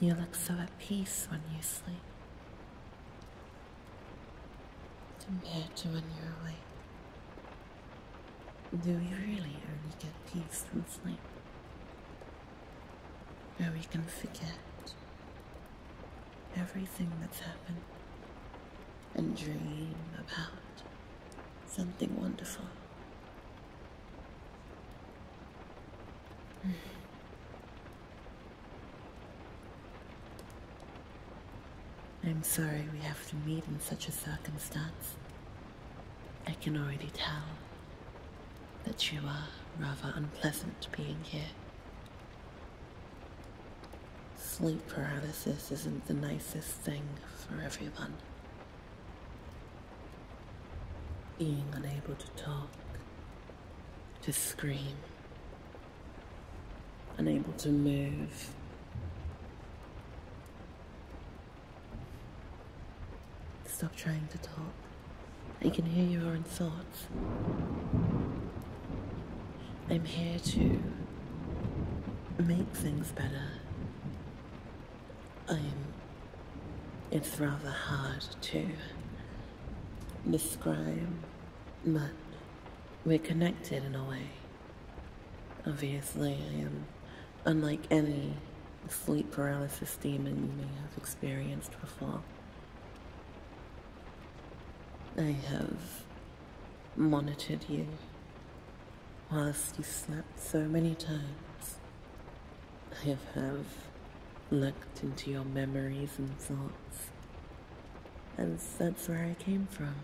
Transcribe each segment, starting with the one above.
You look so at peace when you sleep compared to when you're awake. Do we really only get peace from sleep? Where we can forget everything that's happened and dream about something wonderful. I'm sorry we have to meet in such a circumstance. I can already tell that you are rather unpleasant being here. Sleep paralysis isn't the nicest thing for everyone. Being unable to talk, to scream, unable to move. Stop trying to talk. I can hear your own thoughts. I'm here to make things better. I'm. It's rather hard to describe, but we're connected in a way. Obviously, I am unlike any sleep paralysis demon you may have experienced before. I have monitored you whilst you slept so many times. I have looked into your memories and thoughts, and that's where I came from.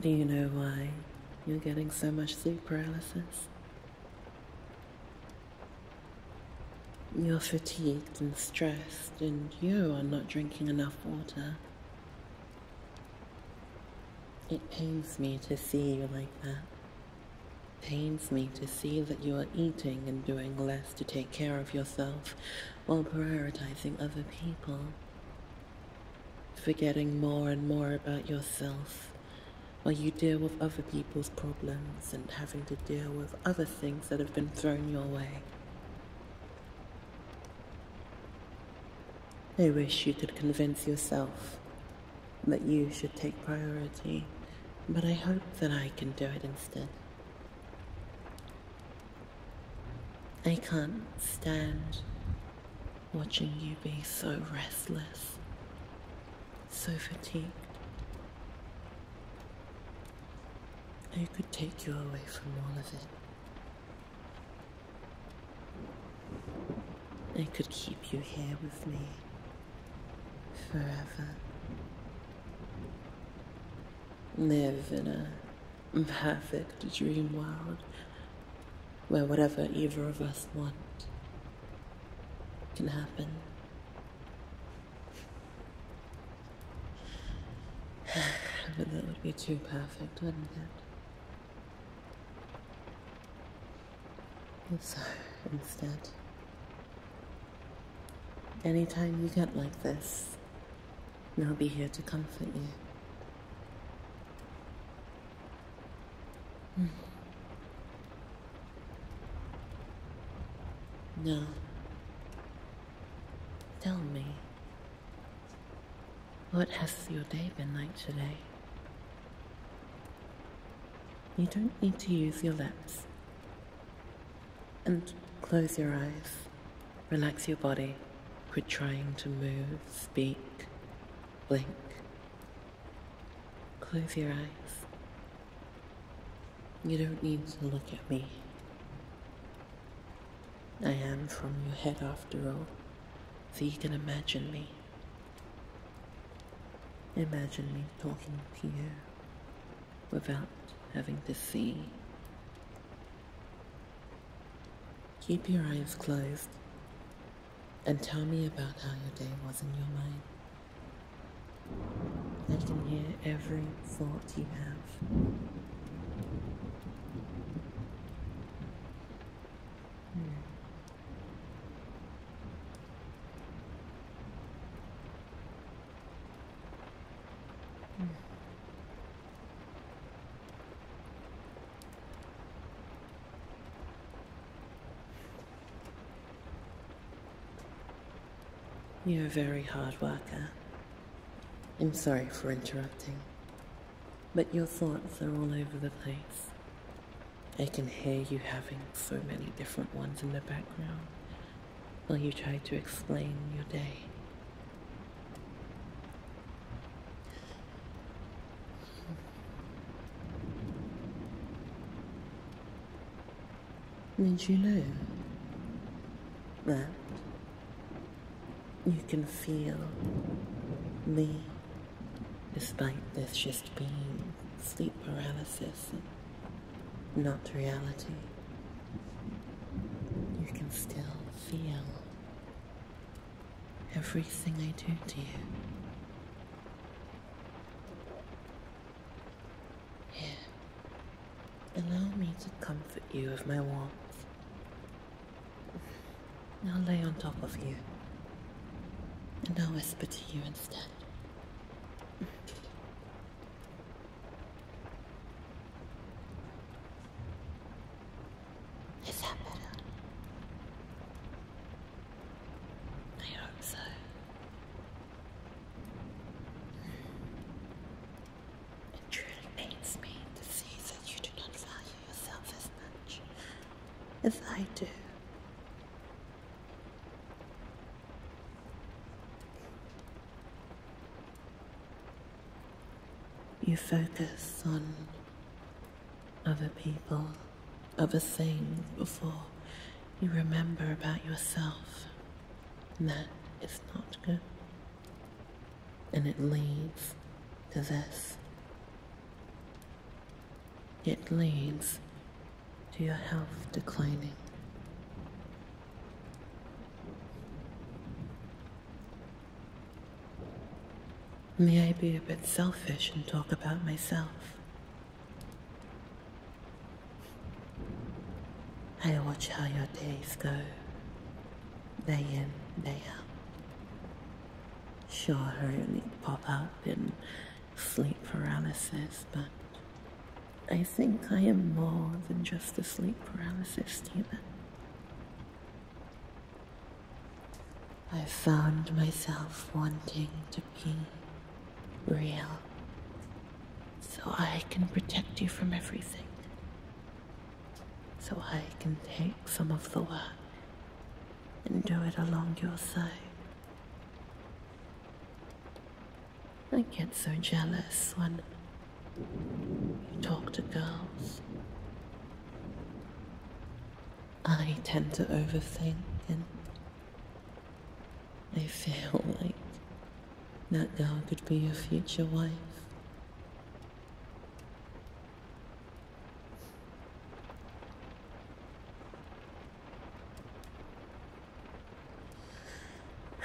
Do you know why you're getting so much sleep paralysis? You're fatigued and stressed, and you are not drinking enough water. It pains me to see you like that. Pains me to see that you are eating and doing less to take care of yourself while prioritizing other people. Forgetting more and more about yourself while you deal with other people's problems and having to deal with other things that have been thrown your way. I wish you could convince yourself that you should take priority, but I hope that I can do it instead. I can't stand watching you be so restless, so fatigued, I could take you away from all of it. I could keep you here with me forever. Live in a perfect dream world where whatever either of us want can happen. but that would be too perfect, wouldn't it? So, instead, anytime you get like this, I'll be here to comfort you. Hmm. No. Tell me, what has your day been like today? You don't need to use your lips. And close your eyes. Relax your body. Quit trying to move, speak, blink. Close your eyes. You don't need to look at me. I am from your head after all, so you can imagine me. Imagine me talking to you without having to see. Keep your eyes closed and tell me about how your day was in your mind. They can hear every thought you have. Hmm. You're a very hard worker. I'm sorry for interrupting, but your thoughts are all over the place. I can hear you having so many different ones in the background while you try to explain your day means you know that you can feel me despite this just being sleep paralysis and not reality. You can still feel everything I do to you. Here, allow me to comfort you with my warmth. I'll lay on top of you, and I'll whisper to you instead. Is that better? I hope so. It truly pains me to see that you do not value yourself as much as I do. You focus on other people, other things before you remember about yourself that is not good. And it leads to this. It leads to your health declining. May I be a bit selfish and talk about myself? I watch how your days go, day in, day out. Sure, hurriedly pop up in sleep paralysis, but I think I am more than just a sleep paralysis demon. I found myself wanting to be real, so I can protect you from everything. So I can take some of the work and do it along your side. I get so jealous when you talk to girls. I tend to overthink and I feel like that girl could be your future wife.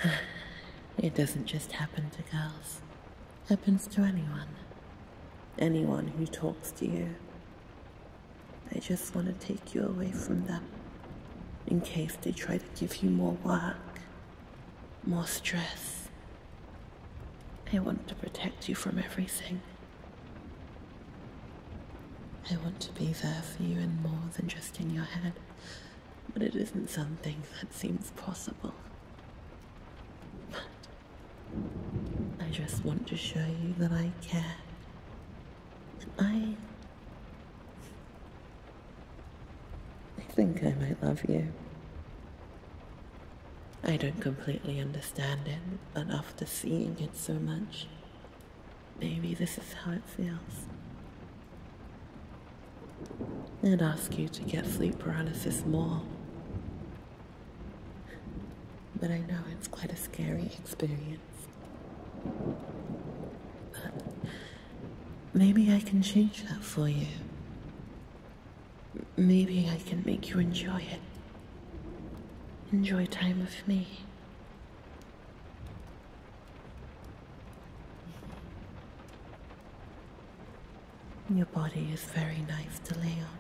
It doesn't just happen to girls. Happens to anyone. Anyone who talks to you. I just want to take you away from them in case they try to give you more work, more stress. I want to protect you from everything. I want to be there for you and more than just in your head, but it isn't something that seems possible. But I just want to show you that I care I. I think I might love you. I don't completely understand it, but after seeing it so much, maybe this is how it feels. I'd ask you to get sleep paralysis more. But I know it's quite a scary experience. Maybe I can change that for you. Maybe I can make you enjoy it. Enjoy time with me. Your body is very nice to lay on.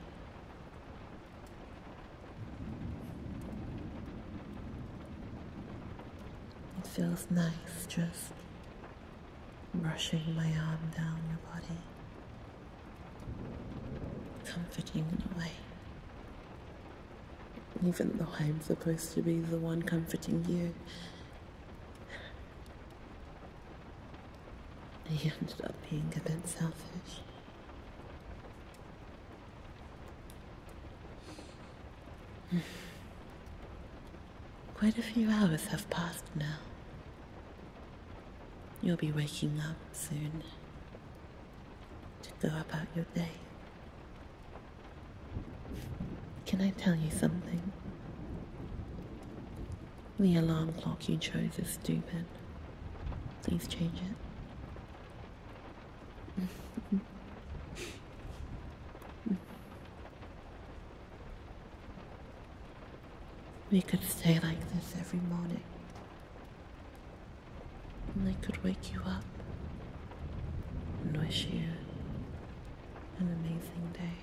It feels nice just brushing my arm down your body, comforting in a way. Even though I'm supposed to be the one comforting you, I ended up being a bit selfish. Quite a few hours have passed now. You'll be waking up soon to go about your day. Can I tell you something? The alarm clock you chose is stupid. Please change it. We could stay like this every morning. And they could wake you up and wish you an amazing day.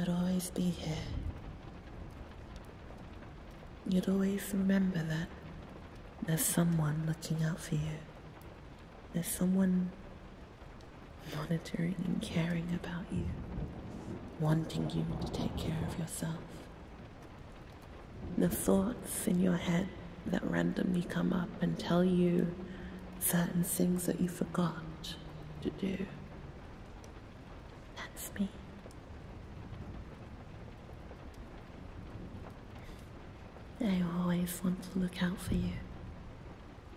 I'd always be here. You'd always remember that there's someone looking out for you. There's someone monitoring and caring about you, wanting you to take care of yourself. The thoughts in your head that randomly come up and tell you certain things that you forgot to do. That's me. I always want to look out for you.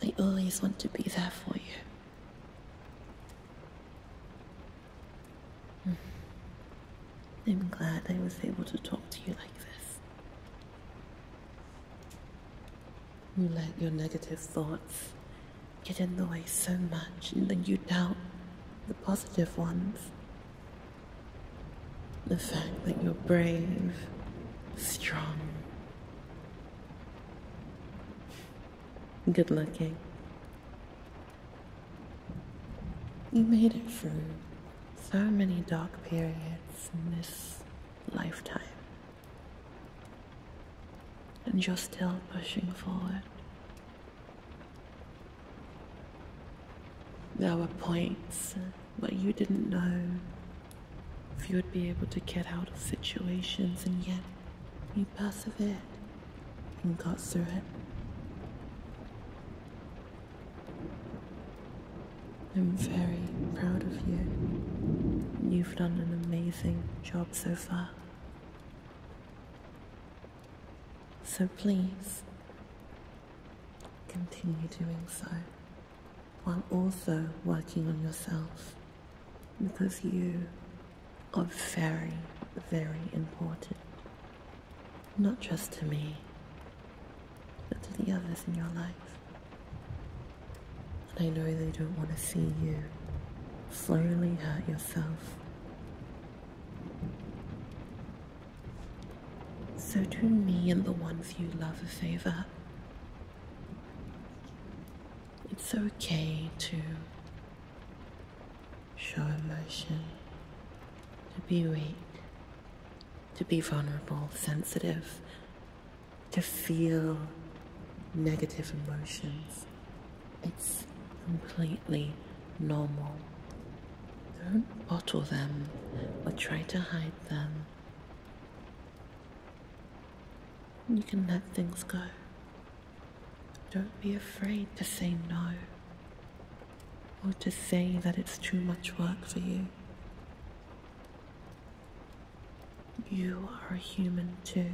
I always want to be there for you. Hmm. I'm glad I was able to talk to you like this. You let your negative thoughts get in the way so much, and then you doubt the positive ones. The fact that you're brave, strong, good looking. You made it through so many dark periods in this lifetime. And you're still pushing forward. There were points but you didn't know if you would be able to get out of situations, and yet you persevered and got through it. I'm very proud of you. You've done an amazing job so far. So please Continue doing so while also working on yourself because you are very, very important. Not just to me, but to the others in your life. And I know they don't want to see you slowly hurt yourself. So do me and the ones you love a favor. It's okay to show emotion, to be weak, to be vulnerable, sensitive, to feel negative emotions. It's completely normal don't bottle them or try to hide them. You can let things go. Don't be afraid to say no or to say that it's too much work for you. You are a human too.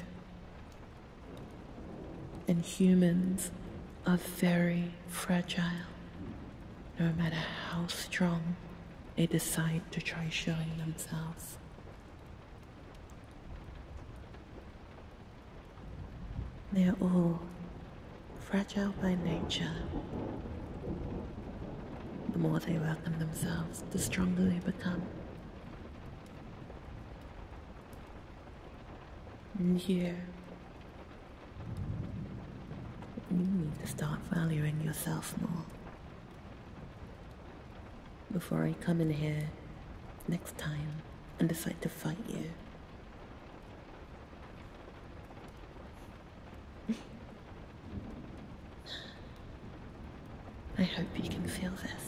And humans are very, fragile, no matter how strong they decide to try showing themselves. They are all fragile by nature. The more they work on themselves, the stronger they become. And you need to start valuing yourself more. Before I come in here next time and decide to fight you. I hope you can feel this.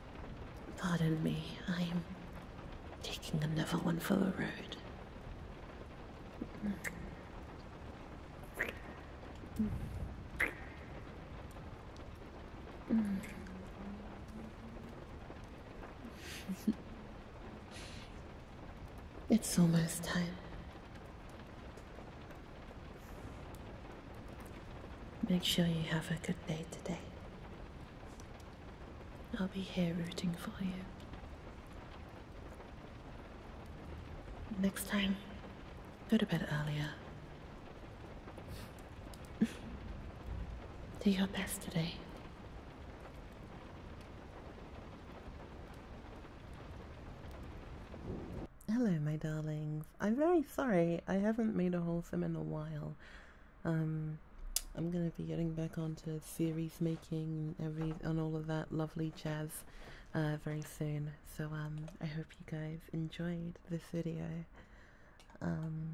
Pardon me, I am taking another one for the road. it's almost time. Make sure you have a good day today. I'll be here rooting for you. Next time, go to bed earlier. Do your best today. Hello, my darlings. I'm very sorry I haven't made a wholesome in a while. Um, I'm going to be getting back onto series making and, every, and all of that lovely jazz uh, very soon. So um, I hope you guys enjoyed this video. Um,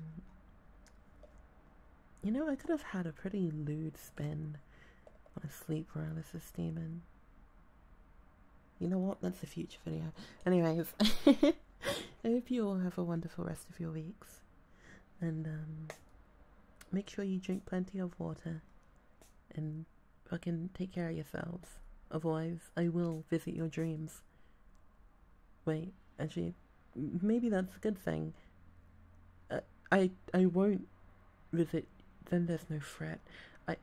you know, I could have had a pretty lewd spin on a sleep paralysis demon. You know what? That's a future video. Anyways. I hope you all have a wonderful rest of your weeks. And um, make sure you drink plenty of water and fucking take care of yourselves. Otherwise, I will visit your dreams. Wait, actually, maybe that's a good thing. Uh, I I won't visit. Then there's no threat. I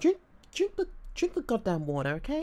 drink drink the drink the goddamn water, okay?